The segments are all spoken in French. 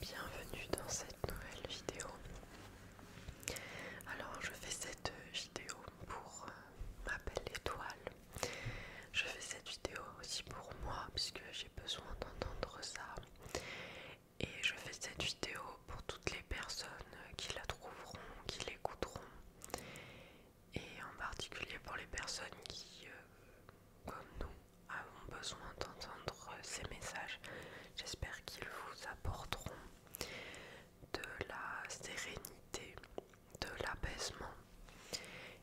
Bienvenue dans cette nouvelle vidéo. Alors je fais cette vidéo pour euh, ma belle étoile. Je fais cette vidéo aussi pour moi puisque j'ai besoin d'entendre ça. Et je fais cette vidéo pour toutes les personnes qui la trouveront, qui l'écouteront. Et en particulier pour les personnes qui, euh, comme nous, avons besoin d'entendre ces messages. J'espère qu'ils vous apporteront de la sérénité, de l'apaisement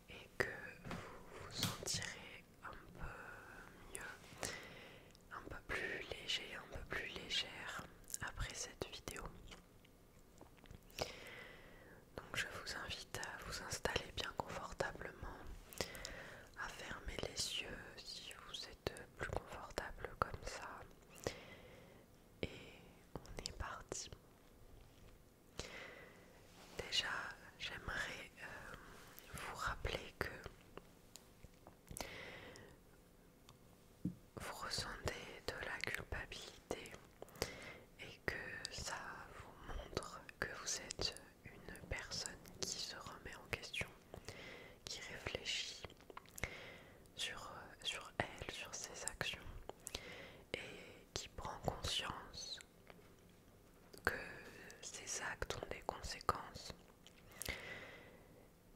et que vous vous sentirez un peu mieux, un peu plus léger, un peu plus légère après cette vidéo. Donc je vous invite à vous installer bien confortablement, à fermer les yeux si vous êtes plus confortable comme ça. Et on est parti. Déjà, j'aimerais euh, vous rappeler que vous ressentez de la culpabilité et que ça vous montre que vous êtes une personne qui se remet en question, qui réfléchit sur, elle, sur ses actions et qui prend conscience que ses actes ont des conséquences.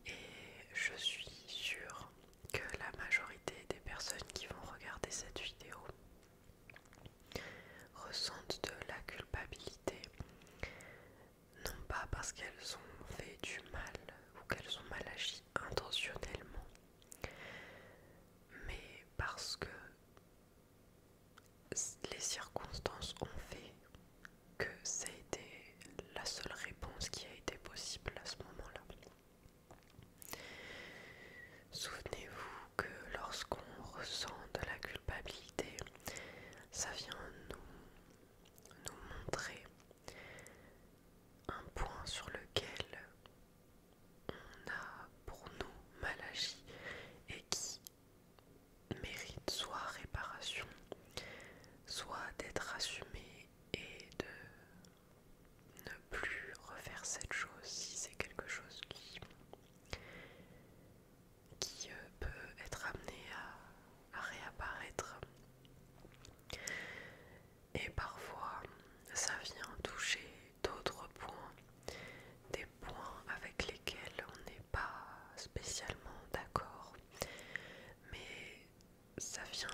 Et je suis sûre que la majorité des personnes qui vont regarder cette vidéo ressentent de la culpabilité, non pas parce qu'elles ont fait du mal ou qu'elles ont mal agi intentionnellement, mais parce que les circonstances ont fait que ça a été la seule réponse qui a été possible à ce moment-là. Souvenez-vous que lorsqu'on ressent de la culpabilité, ça vient nous, montrer un point sur lequel on a pour nous mal agi et qui mérite soit réparation, soit d'être assumé et de ne plus refaire cette chose si c'est quelque chose qui, euh, peut être amené à réapparaître. Et parfois, ça vient toucher d'autres points, des points avec lesquels on n'est pas spécialement d'accord, mais ça vient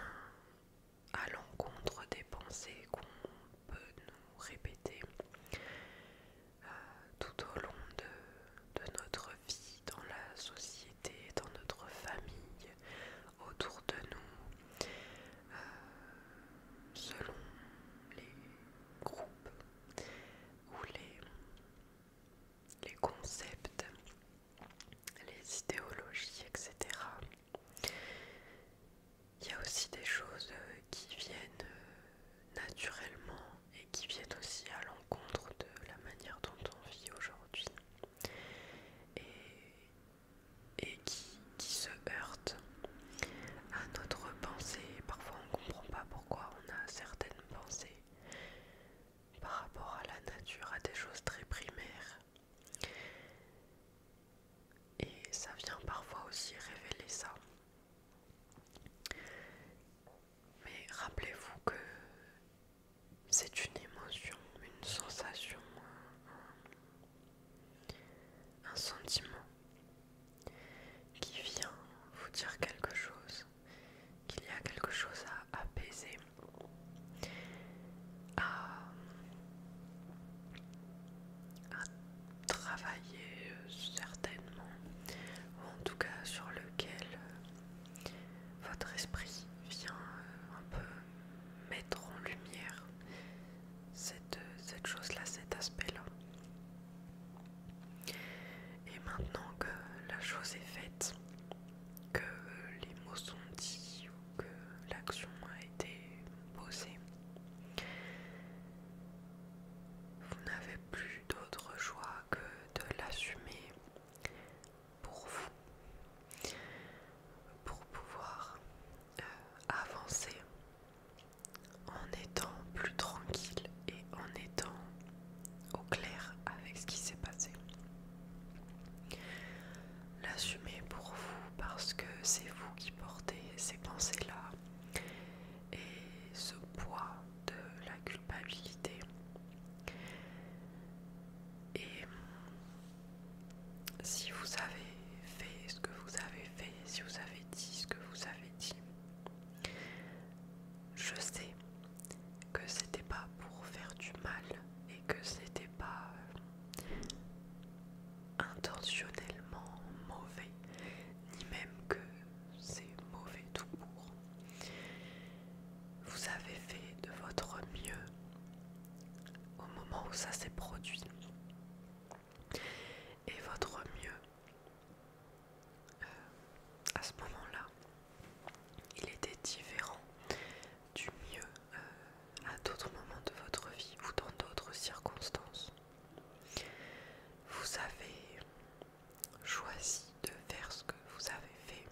à l'encontre des pensées qu'on peut nous répéter euh, tout au long de, notre vie, dans la société, dans notre famille, autour de nous, euh, selon les groupes ou les concepts, les idéologies, etc. Il y a aussi des choses euh, qui viennent euh, naturellement et qui viennent aussi à l'encontre de la manière dont on vit aujourd'hui et, qui, qui se heurtent à notre pensée. Parfois on ne comprend pas pourquoi on a certaines pensées par rapport à la nature, à des choses très primaires, et ça vient parfois aussi révéler ça. Mais rappelez-vous que c'est une émotion, une sensation, un, sentiment qui vient vous dire quelque chose, qu'il y a quelque chose à apaiser, à travailler euh, certainement, ou en tout cas sur lequel euh, votre esprit vient euh, un peu mettre en lumière cette, cette chose-là, cet aspect-là. Et maintenant que la chose est faite, que les mots sont dits que l'action a été posée. Vous n'avez plus d'autre choix que de l'assumer pour vous, pour pouvoir euh, avancer en étant plus tranquille et en étant au clair avec ce qui s'est passé. L'assumer pour vous parce que c'est vous qui portez ces pensées-là et ce poids de la culpabilité. Et si vous avez fait ce que vous avez fait, si vous avez dit ce que vous avez dit, je sais que c'était pas pour faire du mal et que c'était pas euh, intentionnellement mauvais, ni même que c'est mauvais tout court. Vous avez fait de votre mieux au moment où ça s'est produit. Et votre mieux, euh, à ce moment-là, il était différent du mieux euh, à d'autres moments de votre vie ou dans d'autres circonstances. Vous avez choisi de faire ce que vous avez fait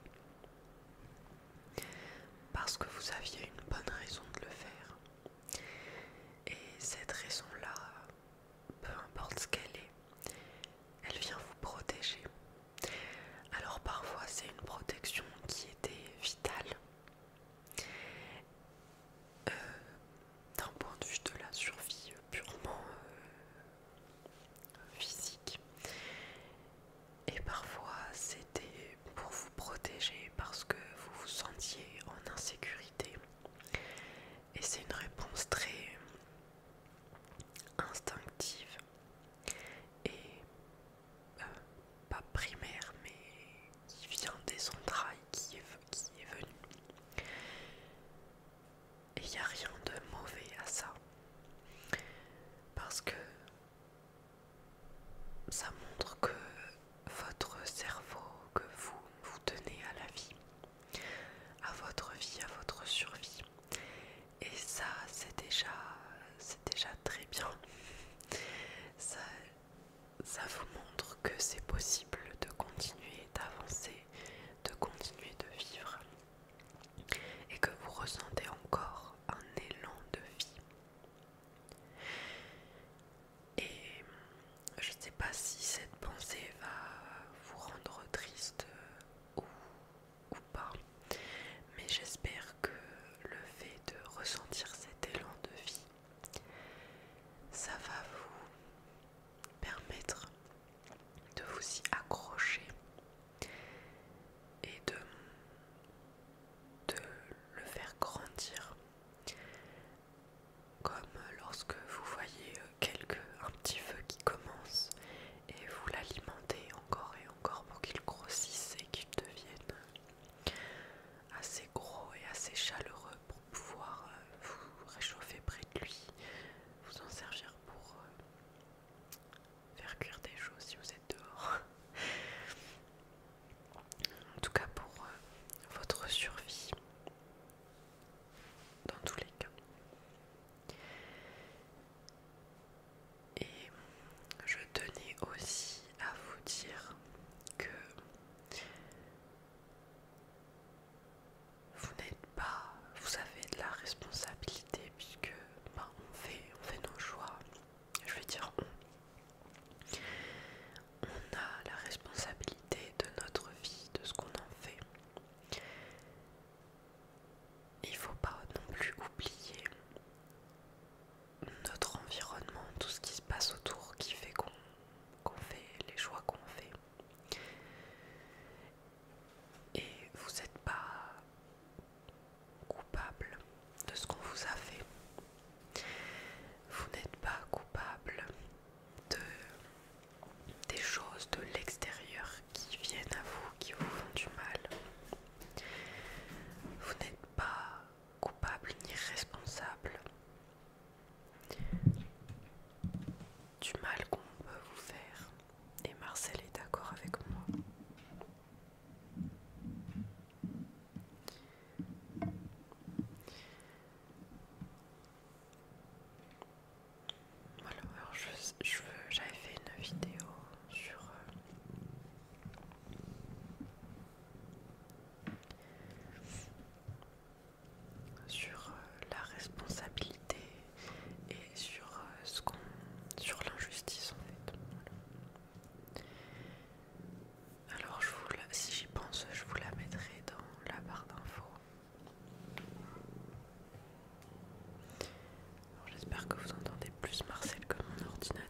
parce que vous aviez une bonne raison de le faire. Et cette raison-là, peu importe ce qu'elle est, elle vient vous protéger alors parfois c'est une protection qui était vitale euh, d'un point de vue de la survie purement euh, physique et parfois c'était pour vous protéger parce que vous vous sentiez en insécurité et c'est une réponse très instinctive et euh, pas primaire, mais qui vient des entrailles, qui est, qui est Et il n'y a rien de mauvais à ça. Parce que ça montre que votre cerveau, que vous vous tenez à la vie, à votre vie, à votre survie et ça c'est déjà c'est déjà très bien ça, ça vous montre que c'est possible de continuer d'avancer de continuer de vivre et que vous ressentez encore un élan de vie et je ne sais pas si cette pensée va vous rendre triste ou ou pas. Mais j'espère que le fait de ressentir cet élan de vie, ça va vous permettre de vous y accrocher et de, de le faire grandir. Comme lorsque vous voyez euh, quelque, un petit feu qui commence et vous l'alimentez encore et encore pour qu'il grossisse et qu'il devienne assez gros et assez chaleureux pour pouvoir euh, vous réchauffer près de lui, vous en servir pour euh, faire cuire des choses si vous êtes dehors. En tout cas pour euh, votre survie, dans tous les cas. Et je tenais aussi à vous dire que vous n'êtes pas, vous avez de la responsabilité puisque ben, on, fait, on fait nos choix. Je vais dire, on, on a la responsabilité de notre vie, de ce qu'on en fait il faut pas non plus oublier notre environnement, tout ce qui se passe autour qui fait qu'on fait les choix qu'on fait. Et vous n'êtes pas coupable de ce qu'on vous a fait. Vous n'êtes pas coupable de, des choses de l'extérieur qui viennent à vous, qui vous font du mal. Vous n'êtes pas coupable ni responsable du mal qu'on peut vous faire. Et Marcel est d'accord avec moi. Voilà, alors j'avais je, j'avais fait une vidéo sur euh, sur euh, la responsabilité et sur euh, ce sur l'injustice en fait. Alors je vous si j'y pense, je vous la mettrai dans la barre d'infos. J'espère que vous entendez plus Marcel que mon ordinateur.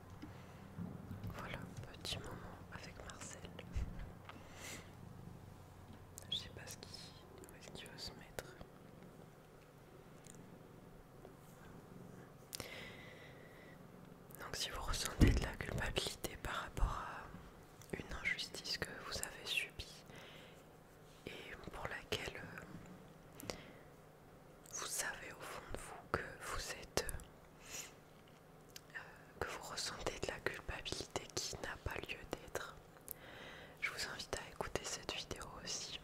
Voilà, petit moment avec Marcel. Je sais pas ce qui, est-ce qu'il veut se mettre. Donc si vous ressentez de la culpabilité par rapport à une injustice que vous avez subie et pour laquelle euh, vous savez au fond de vous que vous êtes euh, que vous ressentez de la culpabilité qui n'a pas lieu d'être. Je vous invite à écouter cette vidéo aussi.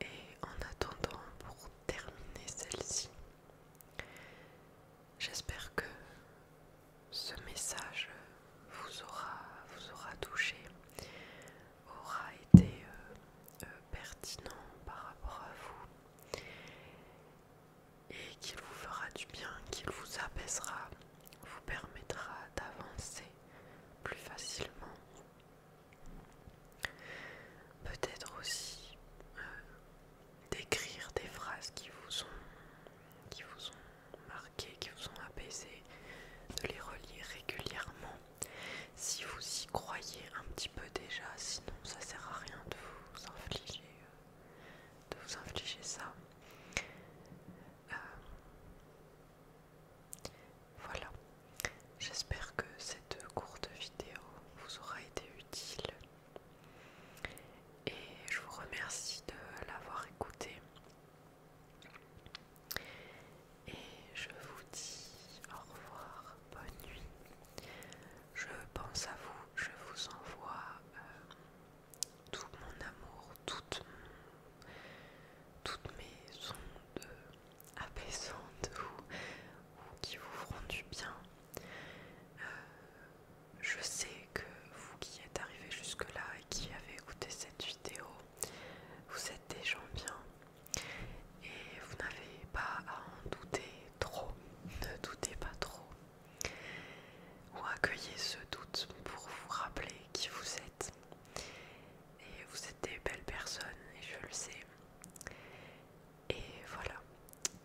Et en attendant, pour terminer celle-ci, j'espère que ce message vous aura, vous aura touché, aura été euh, euh, pertinent par rapport à vous et qu'il vous fera du bien, qu'il vous apaisera, vous permettra d'avancer plus facilement. Peut-être aussi euh, d'écrire des phrases qui vous ont qui marqué, qui vous ont apaisé, de les relire régulièrement si vous y croyez un petit peu déjà, sinon ça sert à rien de vous infliger, euh, de vous infliger ça. Euh, voilà. J'espère que cette courte vidéo vous aura été utile. Et je vous remercie de l'avoir écouté et je vous dis au revoir, bonne nuit. Je pense à vous, je vous envoie euh, tout mon amour, toutes, mes ondes apaisantes ou, qui vous feront du bien. Euh, je sais que vous qui êtes arrivés jusque-là et qui avez écouté cette vidéo, vous êtes des gens bien et vous n'avez pas à en douter trop, ne doutez pas trop, ou accueillez ce doute pour vous rappeler qui vous êtes. Et vous êtes des belles personnes, et je le sais. Et voilà,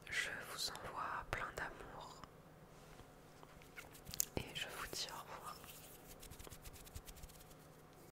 je vous envoie plein d'amour. Et je vous dis au revoir.